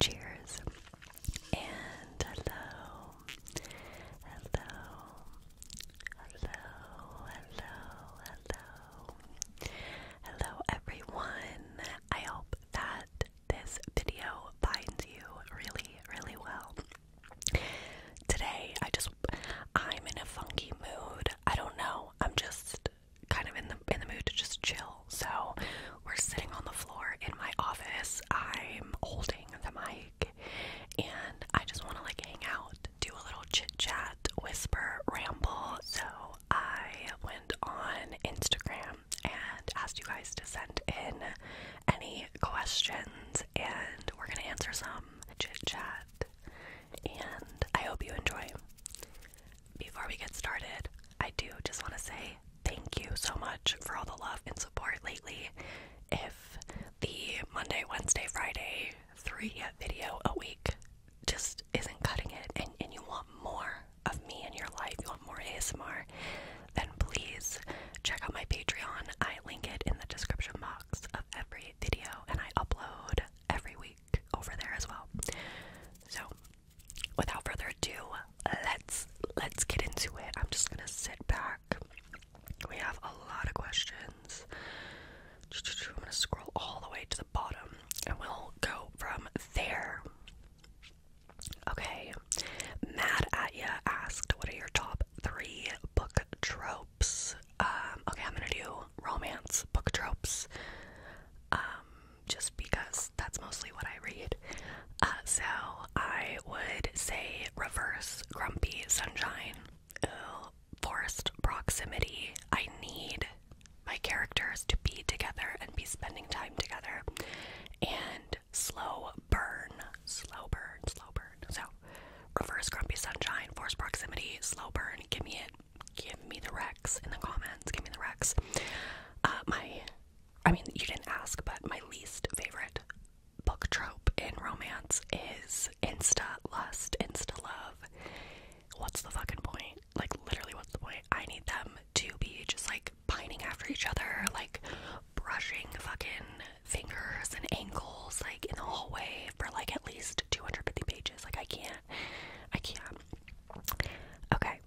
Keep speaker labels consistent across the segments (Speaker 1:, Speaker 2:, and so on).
Speaker 1: Cheers. And hello. Hello. Hello. Hello. Hello. Hello everyone. I hope that this video finds you really, really well. Today I just I'm in a funky mood. I don't know. I'm just kind of in the in the mood to just chill. So we're sitting on the floor in my office. I'm holding the mic and I just want to like hang out, do a little chit chat, whisper, ramble. So I went on Instagram and asked you guys to send in any questions and we're gonna answer some chit chat and I hope you enjoy. Before we get started, I do just want to say thank you so much for all the love and support lately. If the Monday, Wednesday, Friday, three video a week just isn't cutting it, and, and you want more of me in your life, you want more ASMR, then please check out my Patreon. I link it in the description box of every video, and I upload every week over there as well. So, without further ado, let's let's get into it. I'm just gonna sit back. We have a lot of questions. I'm gonna scroll all the way to the bottom, and we'll go from there. Okay, Mad at Ya asked, "What are your top three book tropes?" Um, okay, I'm gonna do romance book tropes. Um, just because that's mostly what I read. Uh, so I would say reverse, grumpy, sunshine, Ooh, forced proximity. I need my characters to be together and be spending time together. And slow burn, slow burn, slow burn. So reverse, grumpy, sunshine, forced proximity, slow burn. Give me it give me the Rex in the comments. Give me the Rex. Uh, my, I mean, you didn't ask, but my least favorite book trope in romance is insta lust, insta love. What's the fucking point? Like, literally, what's the point? I need them to be just like pining after each other, like brushing fucking fingers and ankles, like in the hallway for like at least 250 pages. Like, I can't can't. I can't. Okay.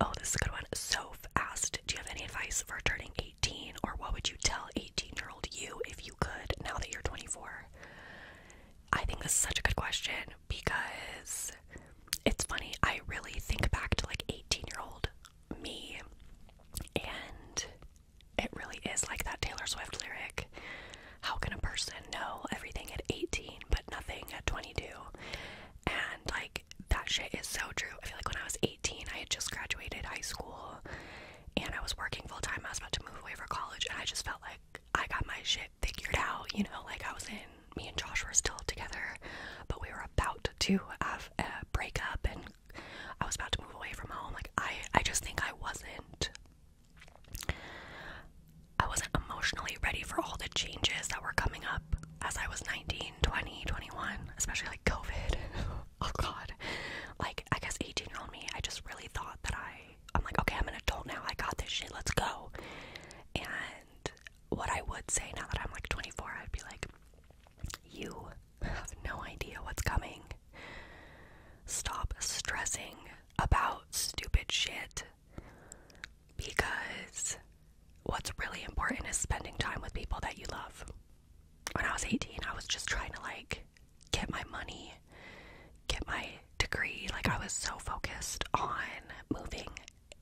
Speaker 1: Oh, this is a good one. Soph asked, Do you have any advice for turning 18? Or what would you tell 18 year old you if you could now that you're 24? I think this is such a good question because it's funny. I really think back to like 18 year old me and it really is like that Taylor Swift lyric. How can a person know everything at 18 but nothing at 22? And like that shit is so true. I feel like when I was 18, I had just graduated high school and I was working full time. I was about to move away for college and I just felt like I got my shit figured out, you know, like I was in me and Josh were still together, but we were about to have a breakup and I was about to move away from home. Like I I just think I wasn't I wasn't emotionally ready for all the changes that were coming up as I was 19, 20, 21, especially like COVID. oh god. Like I guess 18 year old me, I just really thought that I I'm like, okay, I'm an adult now, I got this shit, let's go. And what I would say now that I'm like 24, I'd be like, you have no idea what's coming. Stop stressing about stupid shit because what's really important is spending time with people that you love. When I was 18, I was just trying to like get my money, get my degree. Like, I was so focused on moving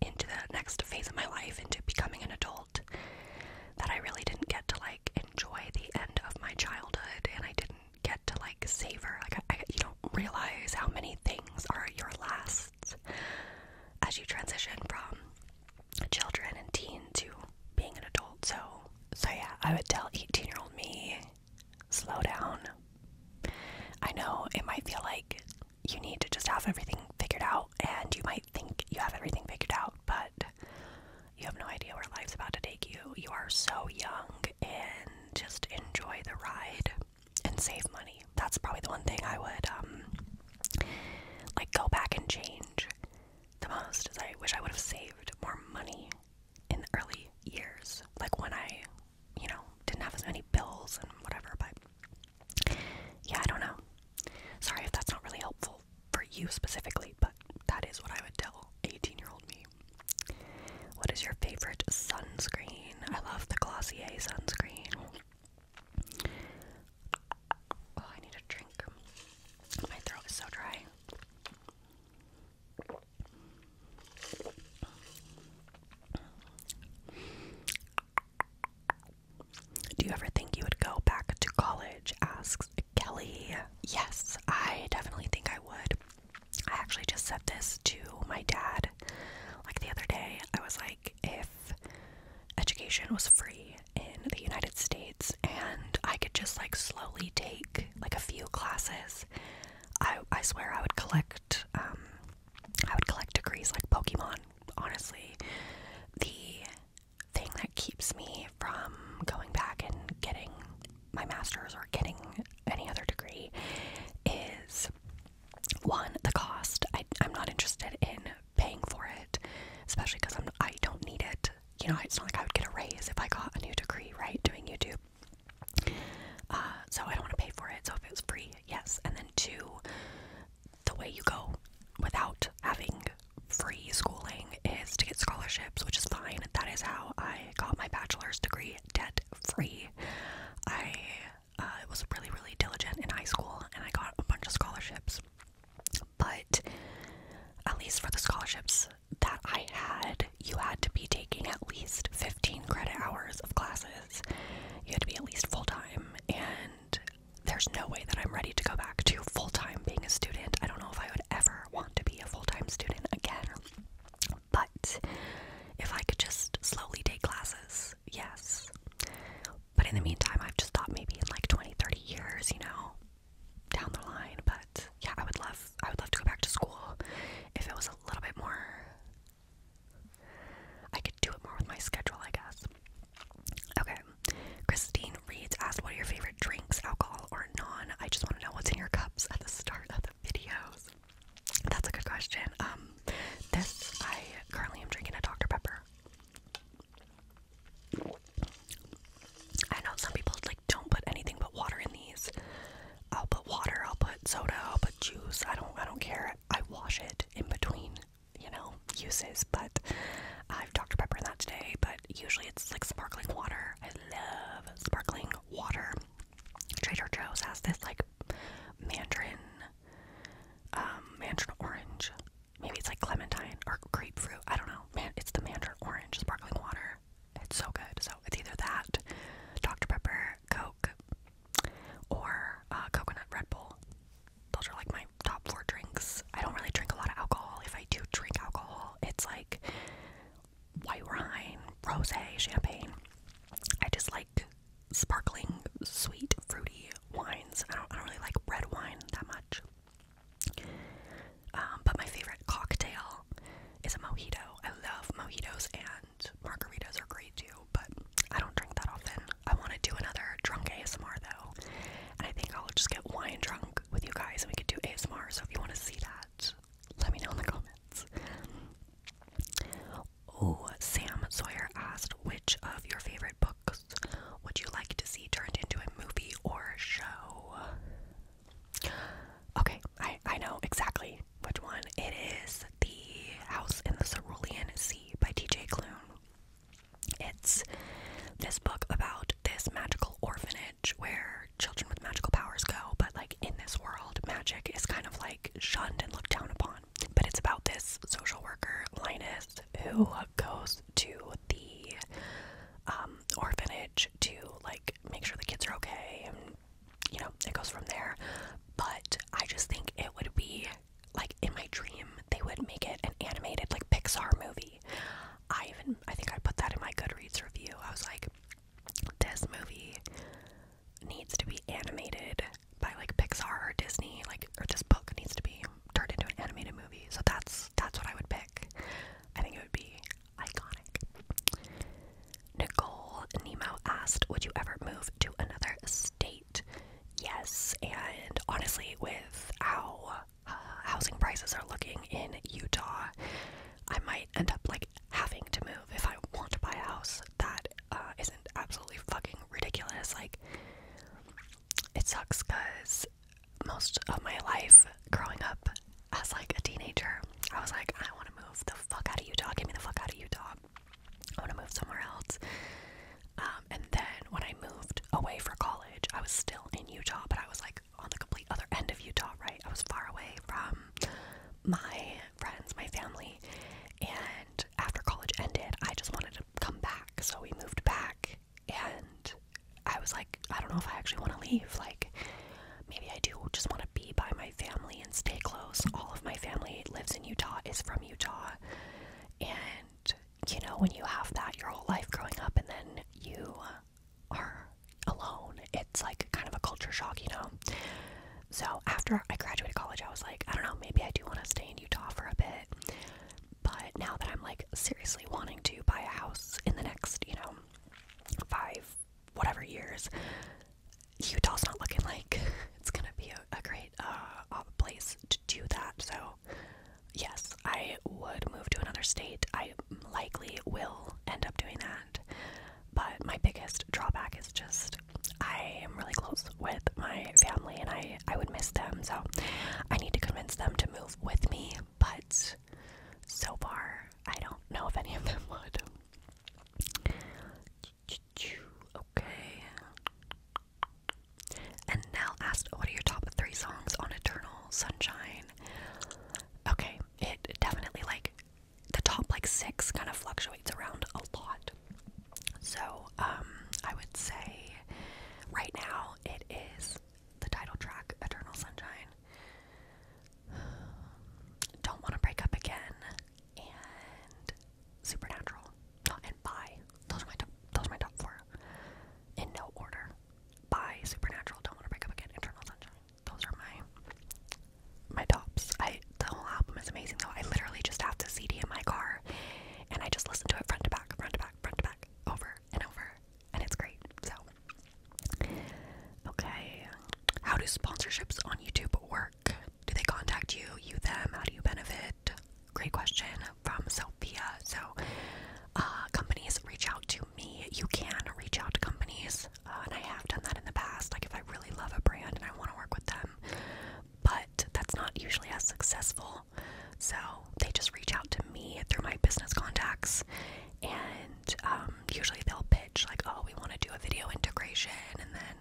Speaker 1: into the next phase of my life, into becoming an adult, that I really didn't get to like enjoy the end of my childhood and I didn't get to like savor. Like I, you don't realize how many things are your last as you transition from children and teen to being an adult. So, so yeah, I would tell 18-year-old me, slow down. I know it might feel like you need to just have everything figured out, and you might think you have everything figured out, but you have no idea where life's about to take you. You are so young, and just enjoy the ride and save money. That's probably the one thing I would um, like go back and change the most is I wish I would have saved more money in the early years. Like when I, you know, didn't have as many bills and whatever, but yeah, I don't know. Sorry if that's not really helpful for you specifically, but that is what I would tell 18 year old me. What is your favorite sunscreen? I love the Glossier sunscreen. Oh, I need a drink. My throat is so dry. Do you ever think you would go back to college? asks Kelly. Yes, I definitely think I would. I actually just said this to my dad like the other day. I was like, if education was free in the United States and I could just like slowly take like a few classes, I I swear I would collect um, I would collect degrees like Pokemon, honestly. The thing that keeps me from going back and getting my master's or getting any other degree is one the cost. I, am not interested in paying for it, especially because I'm I don't need it. You know, it's not like I would get a raise if I got a new degree, right? Doing YouTube. Uh, so I don't want to pay for it. So if it was free, yes. And then two, the way you go without having free schooling is to get scholarships, which is fine. That is how I got my bachelor's degree, debt free. I uh, was really, really diligent in high school and I got a bunch of scholarships. But at least for the scholarships that I had, you had to be taking at least 15 credit hours of classes. You had to be at least full time. And there's no way that I'm ready to go back to full time being a student. I don't know if I would ever want to be a full time student again but if I could just slowly take classes, yes. But in the meantime, I've just thought maybe in like 20, 30 years, you know, down the line. But yeah, I would love, I would love to go back to school if it was a little bit more. I could do it more with my schedule, I guess. Okay, Christine Reeds asked, "What are your favorite drinks, alcohol or non?" I just want to know what's in your cups at the start of the videos. That's a good question. Um, this I currently am drinking a Dr Pepper. I know some people like don't put anything but water in these. I'll put water. I'll put soda. I'll put juice. I don't. I don't care. I wash it in between, you know, uses. But I've Dr Pepper in that today. But usually it's like sparkling water. I love sparkling water. Trader Joe's has this like mandarin, um, mandarin orange. Maybe it's like clementine or grapefruit. I don't know. Man, it's the mandarin orange sparkling water. It's so good. So it's either that, Dr Pepper, Coke, or uh, coconut Red Bull. Those are like my top four drinks. I don't really drink a lot of alcohol. If I do drink alcohol, it's like white wine, rose, champagne. I just like sparkling, sweet, fruity wines. I don't, really like red wine that much. Um, but my favorite cocktail is a mojito. I love mojitos and margaritas are great too, but I don't drink that often. I want to do another drunk ASMR though, and I think I'll just get wine drunk with you guys and we could do ASMR. So if you want to see that, let me know in the comments. Oh, Sam Sawyer asked, which of your favorite books would you like to see turned into a movie or show? Okay, I, I know exactly which one. It is The House in the Cerulean Sea by TJ Klune. It's this book about this magical orphanage where children with magical powers go, but like in this world, magic is kind of like shunned and looked down upon. But it's about this social worker, Linus, who goes to the um, orphanage to like make sure the kids are okay, and you know, it goes from there. But I just think it would be like in my dream, they would make it an animated, like Pixar movie. I even, I think I put that in my Goodreads review. I was like, this movie needs to be animated by like Pixar or Disney, like or this book needs to be turned into an animated movie. So that's that's what I would pick. I think it would be iconic. Nicole Nemo asked, "Would you ever move to another state?" Yes, and honestly, with how uh, housing prices are looking in Utah, I might end up like having to move if I want to buy a house that uh, not absolutely fucking ridiculous. Like, it sucks because most of my life growing up as like a teenager, I was like, I want to move the fuck out of Utah. Get me the fuck out of Utah. I want to move somewhere else. Um, and then when I moved away for college, I was still in Utah, but I was like on the complete other end of Utah, right? I was far away from my friends, my family, and after college ended, I just wanted to come back. So we moved back, and I was like, I don't know if I actually want to leave. Like, maybe I do just want to be by my family and stay close. All of my family lives in Utah, is from Utah, and you know, when you have that your whole life growing up, and then you are alone, it's like kind of a culture shock, you know. So after I graduated college, I was like, I don't know, maybe I do want to stay in Utah for a bit. But now that I'm like seriously wanting to buy a house in the next, you know, five, whatever years, Utah's not looking like it's gonna be a, great uh, place to do that. So, yes, I would move to another state. I likely will end up doing that. But my biggest drawback is just I am really close with my family and I, I would miss them. So I need to convince them to move with me. But so far, I don't know if any of them would. Okay. And Nell asked, What are your top three songs on Eternal Sunshine? Okay, it definitely like the top like six kind of fluctuates around a lot. So, um, I would say right now it is the title track, Eternal Sunshine, Don't Want to Break Up Again, and Supernatural. and Bye. Those are my top, those are my top four, in no order. Bye, Supernatural, Don't Want to Break Up Again, Eternal Sunshine. Those are my my tops. I the whole album is amazing though. I literally just have the CD in my car and I just listen to it front to back, front to back, front to back, over and over, and it's great. So okay, how do sponsorships on YouTube work? Do they contact you? You them? How do you benefit? Great question from Sophia. So uh, companies reach out to me. You can reach out to companies, uh, and I have done that in the past. Like if I really love a brand and I want to work with them, but that's not usually as successful. So they just reach out to me through my business contacts, and um, usually they'll pitch, like, oh, we want to do a video integration. And then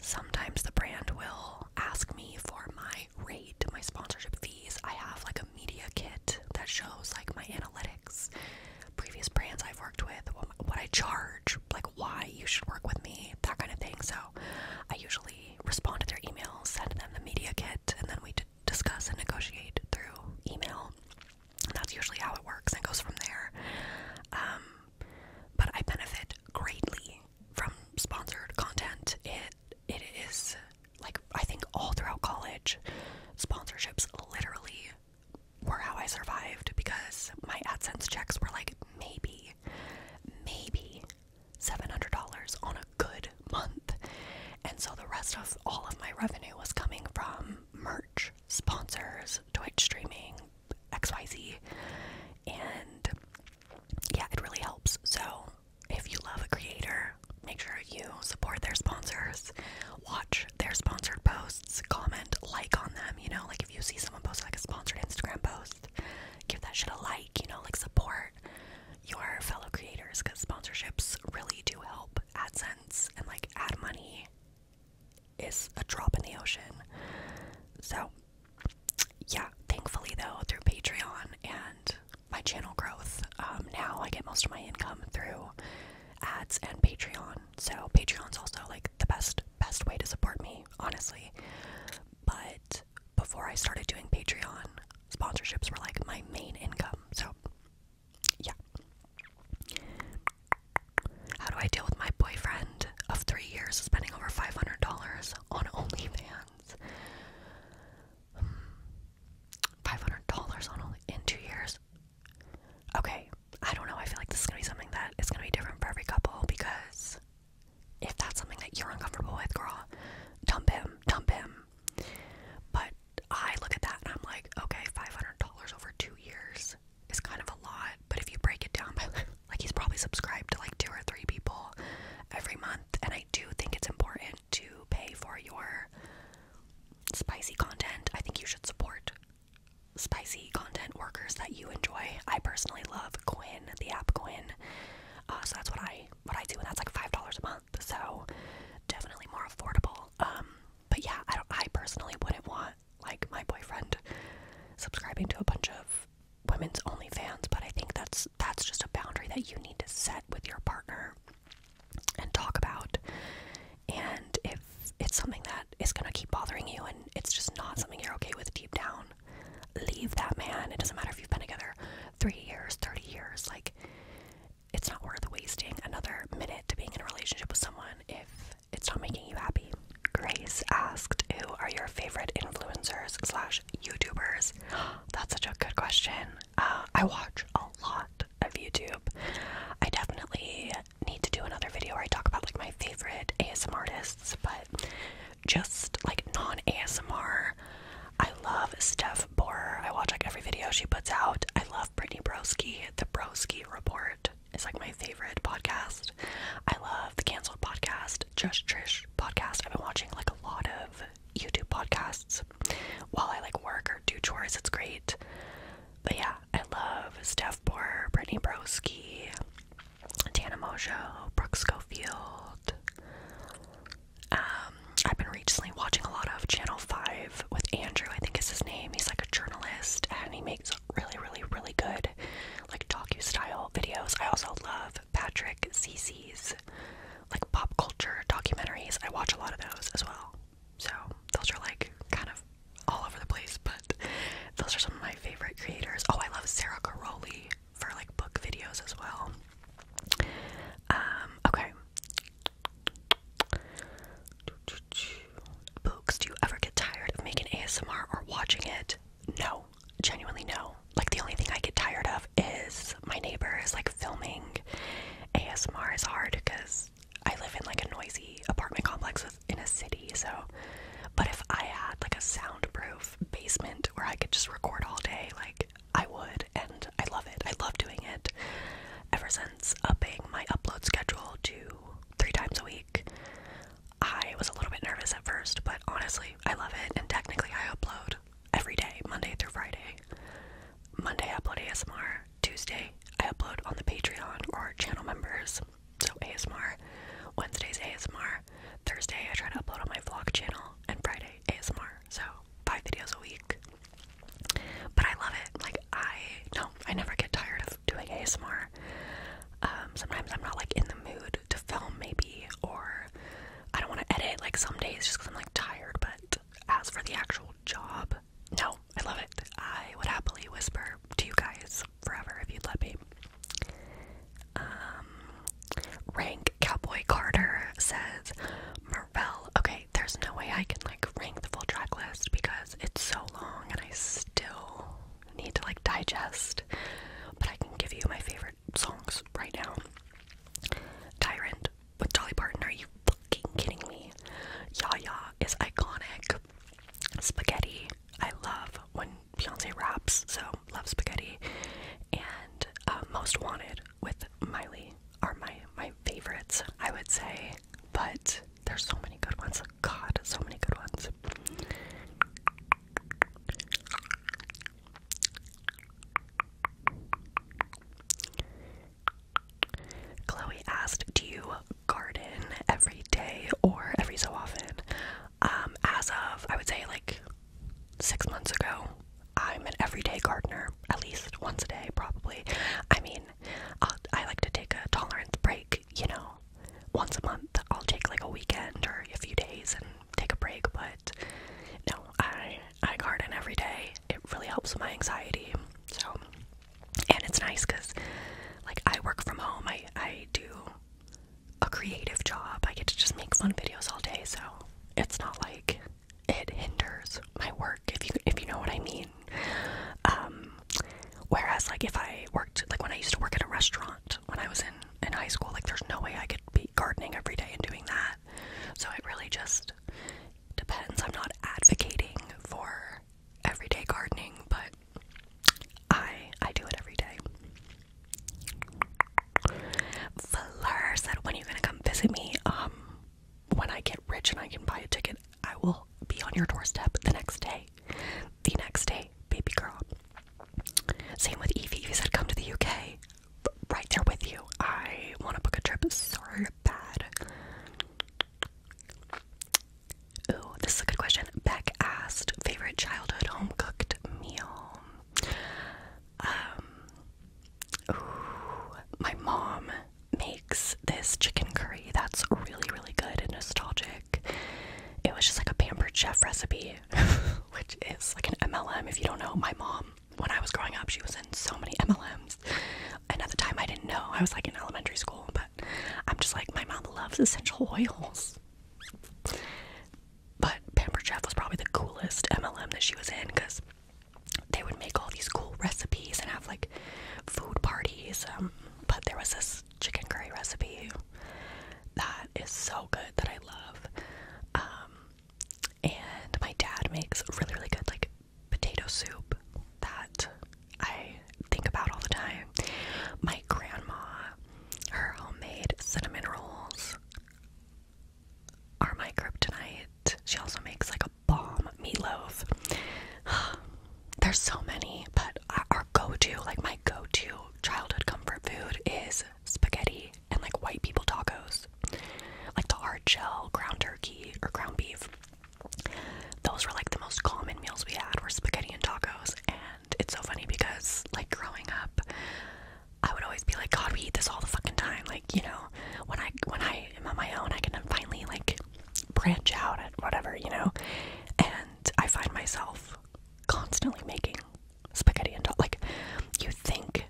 Speaker 1: sometimes the brand will ask me for my rate, my sponsorship fees. I have like a media kit that shows like my analytics, previous brands I've worked with, what I charge like why you should work with me, that kind of thing. So I usually respond to their emails, send them the media kit, and then we discuss and negotiate through email. that's usually how it works and goes from there. Um, but I benefit greatly from sponsored content. It it is like I think all throughout college, sponsorships literally were how I survived because my AdSense checks were like maybe, maybe $700 on a good month. And so the rest of all of my revenue was coming from merch, sponsors, Twitch streaming, XYZ. And yeah, it really helps. So if you love a creator, make sure you support their sponsors, watch their sponsored posts comment, like on them, you know, like if you see someone post like a sponsored Instagram post, give that shit a like, you know, like support your fellow creators because sponsorships really do help AdSense and like ad money is a drop in the ocean. So, yeah, thankfully though, through Patreon and my channel growth, um, now I get most of my income through ads and Patreon. So, Patreon's also like the best best way to support me, honestly. But before I started doing Patreon, sponsorships were like my main income. So yeah. How do I deal with my boyfriend of three years spending over five hundred dollars on OnlyFans? Five hundred dollars on only in two years. Okay, I don't know. I feel like this is gonna be something that is gonna be different for every couple because if that's something that you're uncomfortable with, girl, dump him, dump him. But I look at that and I'm like, okay, $500 over two years is kind of a lot. But if you break it down by like, he's probably subscribed to like two or three people every month. And I do think it's important to pay for your spicy content. I think you should support spicy content workers that you enjoy. I personally love Quinn, the app Quinn. Uh, so that's what I what I do, and that's like five dollars a month. So definitely more affordable. Um, but yeah, I don't, I personally wouldn't want like my boyfriend subscribing to a bunch of women's only fans, but I think that's that's just a boundary that you need to set with your partner and talk about. And if it's something that is gonna keep bothering you and it's just not something you're okay with deep down, um, leave that man. It doesn't matter if you've been together three years, 30 years. Like, it's not worth wasting another minute to being in a relationship with someone if it's not making you happy. Grace asked, Who are your favorite influencers slash YouTubers? That's such a good question. Uh, I watch a lot of YouTube. I definitely need to do another video where I talk about like my favorite ASMR but just like non ASMR. I love Steph Borer. I watch like every video she puts out. I love Brittany Broski. The Broski Report is like my favorite podcast. I love the Cancelled Podcast, Just Trish Podcast. I've been watching like a lot of YouTube podcasts while I like work or do chores. It's great. But yeah, I love Steph Borer, Brittany Broski. Tana Mojo, Brooks Schofield. Um, I've been recently watching a lot of Channel 5 with Andrew, I think is his name. He's like a journalist and he makes really, really, really good like docu style videos. I also love Patrick CC's like pop culture documentaries. I watch a lot of those as well. So those are like kind of all over the place, but those are some of my favorite creators. Oh, I love Sarah Caroli for like book videos as well. Um, okay. Books, do you ever get tired of making ASMR or watching it? No, genuinely no. Like the only thing I get tired of is my neighbor is like filming. ASMR is hard because I live in like a noisy apartment complex in a city, so. But if I had like a soundproof basement where I could just record all day, like I would, and I love it. I love doing it. Ever since upping my upload schedule to three times a week, I was a little bit nervous at first, but honestly, I love it. And technically, I upload every day, Monday through Friday. Monday, I upload ASMR. Tuesday, I upload on the Patreon or channel members. So ASMR, Wednesday's ASMR, Thursday I try to upload on my vlog channel, and Friday ASMR. So five videos a week. But I love it. Like I no, I never get tired of doing ASMR. Um, sometimes I'm not like in the mood to film maybe or I don't want to edit like some days just because I'm like tired, but as for the actual job, no, I love it. I would happily whisper to you guys forever if you'd let me. Um, rank Cowboy Carter says Marvel. Okay, there's no way I can like rank the full track list because it's so long and I still need to like digest. But I can give you my favorite songs right now. Tyrant with Dolly Parton. Are you fucking kidding me? Yaya is iconic. Spaghetti. I love when Beyonce raps, so love spaghetti. And uh, Most Wanted with Miley are my my favorites, I would say. But there's so many good ones. God, so many good ones. Chloe asked, "Do you garden every day or every so often?" Um, as of, I would say, like six months ago, I'm an everyday gardener, at least once a day, probably. I mean, i I like to take a tolerance break, you know, once a month. I'll take like a weekend or a few days and take a break, but no, I, I garden every day. It really helps with my anxiety. So, and it's nice because, like, I work from home, I, I do a creative job. I get to just make fun videos all day, so it's not like it hinders my work if you if you know what I mean. Um whereas like if I worked like when I used to work at a restaurant when I was in in high school, like there's no way I could be gardening every day and doing that. So it really just depends. I'm not advocating for everyday gardening, but I I do it every day. Fleur said, "When are you gonna come visit me? Um, when I get rich and I can buy a ticket, I will be on your doorstep the next day. The next day, baby girl." Same with Evie. Evie said, "Come to the UK." Right there with you. I want to book a trip so bad. Ooh, this is a good question. Beck asked, favorite childhood home cooked meal? Um, my mom makes this chicken curry that's really, really good and nostalgic. It was just like a pampered chef recipe, which is like an MLM. If you don't know, my mom, when I was growing up, she was in so many MLMs. And at the time, I didn't know. I was like in elementary school, but I'm just like, my mom loves essential oils. But Pamper Chef was probably the coolest MLM that she was in because they would make all these cool recipes and have like food parties. Um, but there was this chicken curry recipe that is so good that I love. Um, and my dad makes really, really good like potato soup that I think about all the time. My grandma, her homemade cinnamon rolls, are my kryptonite. She also makes like a bomb meatloaf. There's so many, but our go to, like my go to childhood comfort food is spaghetti and like white people tacos, like the hard shell, ground turkey, or ground beef. Those were like the most common meals we had were spaghetti and tacos, and it's so funny because, like, growing up, I would always be like, God, we eat this all the fucking time. Like, you know, when I when I am on my own, I can finally like branch out at whatever, you know. And I find myself constantly making spaghetti and like, you think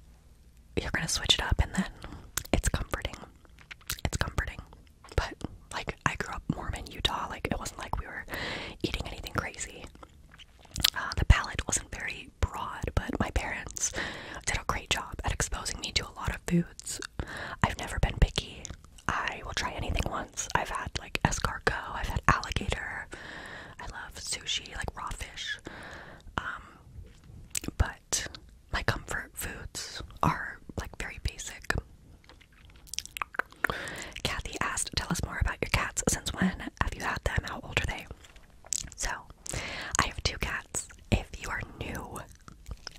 Speaker 1: you're gonna switch it up, and then it's comforting. It's comforting. But like, I grew up Mormon, Utah. Like, it wasn't like we were eating anything crazy. Uh, the palette wasn't very broad, but my parents did a great job at exposing me to a lot of foods. I've never been picky. I will try anything once. I've had like escargot, I've had alligator, I love sushi, like raw fish. Um, but my comfort foods are like very basic. Kathy asked, Tell us more about your cats. Since when have you had them? How old are they? So, I have two cats. If you are new,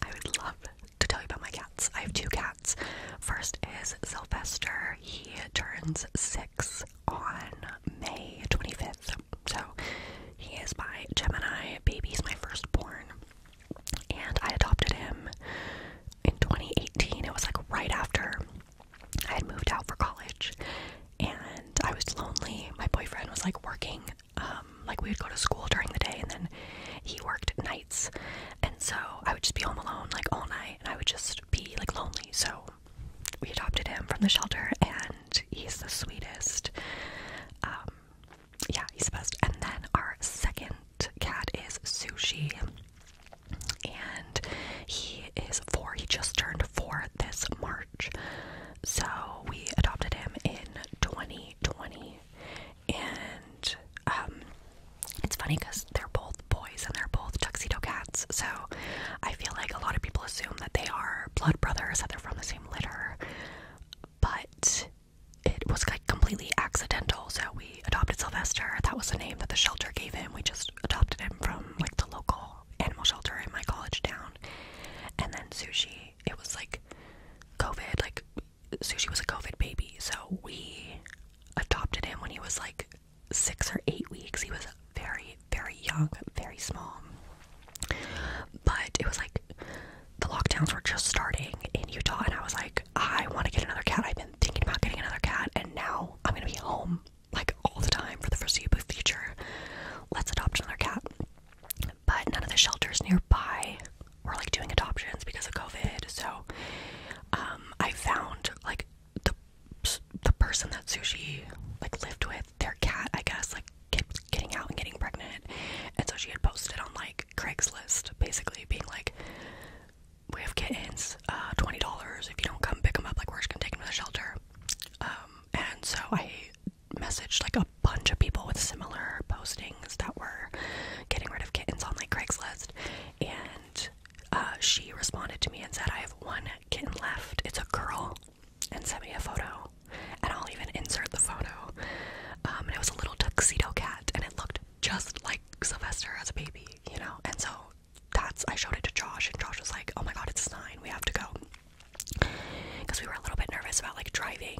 Speaker 1: I would love to tell you about my cats. I have two cats. First is Sylvester. He turns six on May 25th. So, he is my Gemini baby. He's my firstborn. And I adopted him in 2018. It was like right after I had moved out for college and I was lonely. My boyfriend was like working, um, like we would go to school during the day and then he worked nights. And so I would just be home alone like all night and I would just be like lonely. So we adopted him from the shelter and he's the sweetest. Um, yeah, he's the best. And then our second cat is Sushi and he is four. He just turned four this March. So we adopted him in 2020, and um, it's funny because they're both boys and they're both tuxedo cats. So I feel like a lot of people assume that they are blood brothers, that they're from the same litter, but it was like completely accidental. So we adopted Sylvester. That was the name that the shelter gave him. We just adopted him from like the local animal shelter in my college town. And then sushi, it was like COVID, like sushi was a COVID baby. So we adopted him when he was like six or eight weeks. He was very, very young, very small. But it was like the lockdowns were just starting in Utah, and I was like, I want to get another cat. I've been thinking about getting another cat, and now I'm gonna be home like all the time for the foreseeable future. Let's adopt another cat. But none of the shelters nearby were like doing adoptions because of COVID. So um, I found like the the person that Sushi like lived with, their cat, I guess, like kept getting out and getting pregnant, and so she had posted on like Craigslist, basically being like, "We have kittens, uh, twenty dollars if you don't come pick them up. Like we're just gonna take them to the shelter." Um, and so I messaged like a bunch of people with similar postings that were getting rid of kittens on like Craigslist, and uh, she responded to me and said, "I have one kitten left. It's a girl," and sent me a photo, and I'll even insert the photo. Um, and it was a little tuxedo cat, and it looked just like Sylvester as a baby, you know. And so that's I showed it to Josh, and Josh was like, "Oh my God, it's nine. We have to go," because we were a little bit nervous about like driving,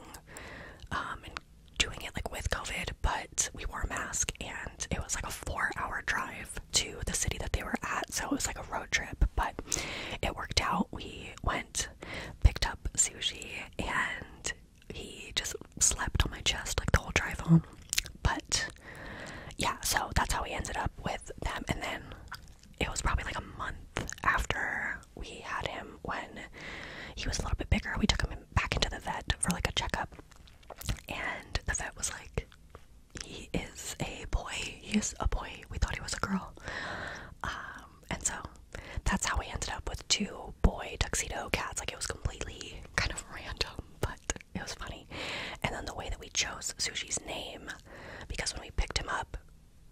Speaker 1: um, and doing it like with COVID. But we wore a mask, and it was like a four-hour drive to the city that they were at, so it was like a road trip. But it worked out. We went, picked up sushi, and he just slept on my chest like the whole drive home. But yeah, so that's how we ended up with them. And then it was probably like a month after we had him when he was a little bit bigger. We took him back into the vet for like a checkup. And the vet was like, he is a boy. He is a boy. We thought he was a girl. Um, and so that's how we ended up with two boy tuxedo cats. Like it was completely kind of random, but it was funny. And then the way that we chose Sushi's name because when we picked him up,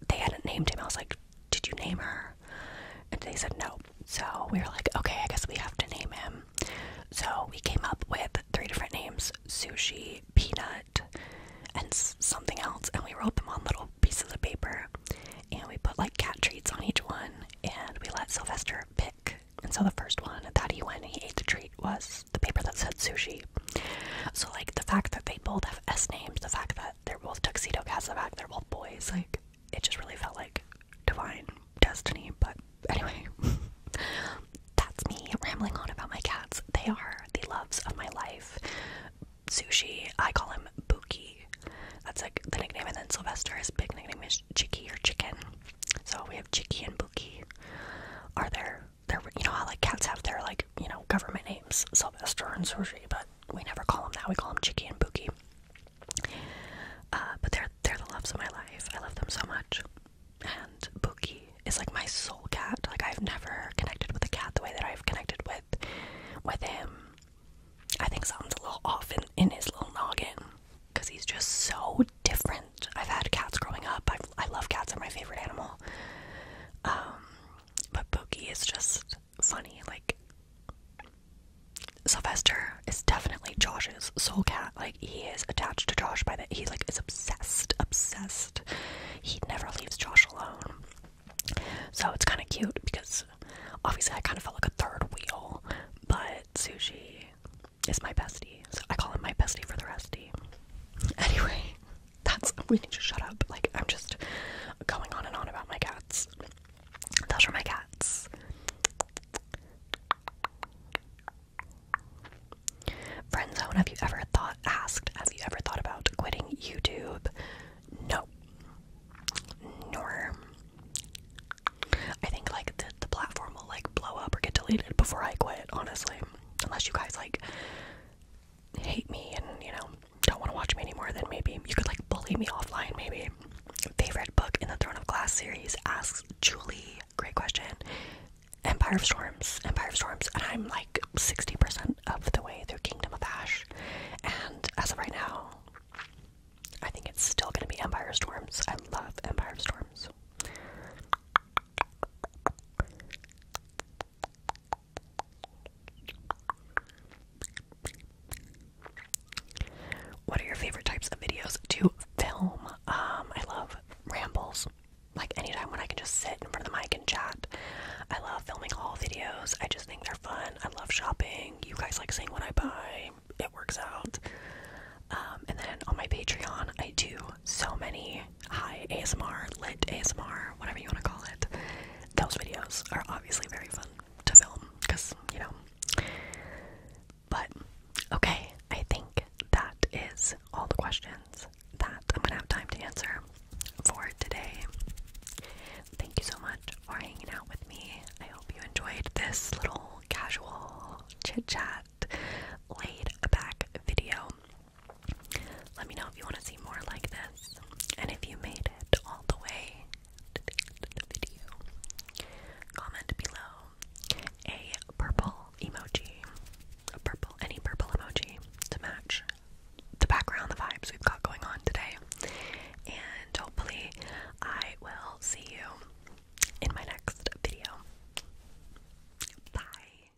Speaker 1: they hadn't named him. I was like, Did you name her? And they said no. So we were like, Okay, I guess we have to name him. So we came up with three different names Sushi, Peanut, and something else. And we wrote them on little pieces of paper. And we put like cat treats on each one. And we let Sylvester pick. And so the first one that he went he ate the treat was the paper that said sushi. So like the fact that they both have S names, the fact that they're both tuxedo cats, the fact they're both boys, like it just really felt like divine destiny. But anyway, that's me rambling on about my cats. They are the loves of my life. Sushi, I call him Buki. That's like the nickname, and then Sylvester's big nickname is Chicky or Chicken. So we have Chicky and Buki. Are there their you know how like cats have their like you know government names Sylvester and Sushi, but we never call them that. We call them Chicky and Bookie. Uh, but they're they're the loves of my life. I love them so much. And Bookie is like my soul cat. Like I've never connected with a cat the way that I've connected with with him. I think something's a little off in, in his little noggin because he's just so different I've had cats growing up. i love cats; are my favorite animal. Um, but Pookie is just funny. Like Sylvester is definitely Josh's soul cat. Like he is attached to Josh by that. He like is obsessed, obsessed. He never leaves Josh alone. So it's kind of cute because obviously I kind of felt like a third wheel, but Sushi is my bestie. So I call him my bestie for the restie. Anyway, that's we need to shut up. Like I'm just going on and on about my cats. Those are my cats. Friendzone, have you ever thought asked, have you ever thought about quitting YouTube? No. Nor I think like the, the platform will like blow up or get deleted before I quit, honestly. Unless you guys like hate me and, you know, don't want to watch me anymore, then maybe you could like bully me offline, maybe. Favorite book in the Throne of Glass series asks Julie, great question. Empire of Storms, Empire of Storms, and I'm like 60% of the way through Kingdom of Ash. And as of right now, I think it's still gonna be Empire of Storms. I love Empire of Storms. What are your favorite types of videos to film? Um, I love rambles. Like anytime when I can just sit in front of the mic and chat. I love filming haul videos. I just think they're fun. I love shopping. You guys like seeing what I buy. It works out. Um, and then on my Patreon, I do so many hi ASMR, lit ASMR, whatever you want to call it. Those videos are obviously very fun to film because, you know. But, okay, I think that is all the questions that I'm gonna have time to answer for today. Thank you so much for hanging out with me. I hope you enjoyed this little casual chit chat laid back video. Let me know if you want to see more like this, and if you made it all the way to the end of the video, comment below a purple emoji, a purple, any purple emoji to match the background, the vibes we've got going on today, and hopefully I will see you in my next video. Bye.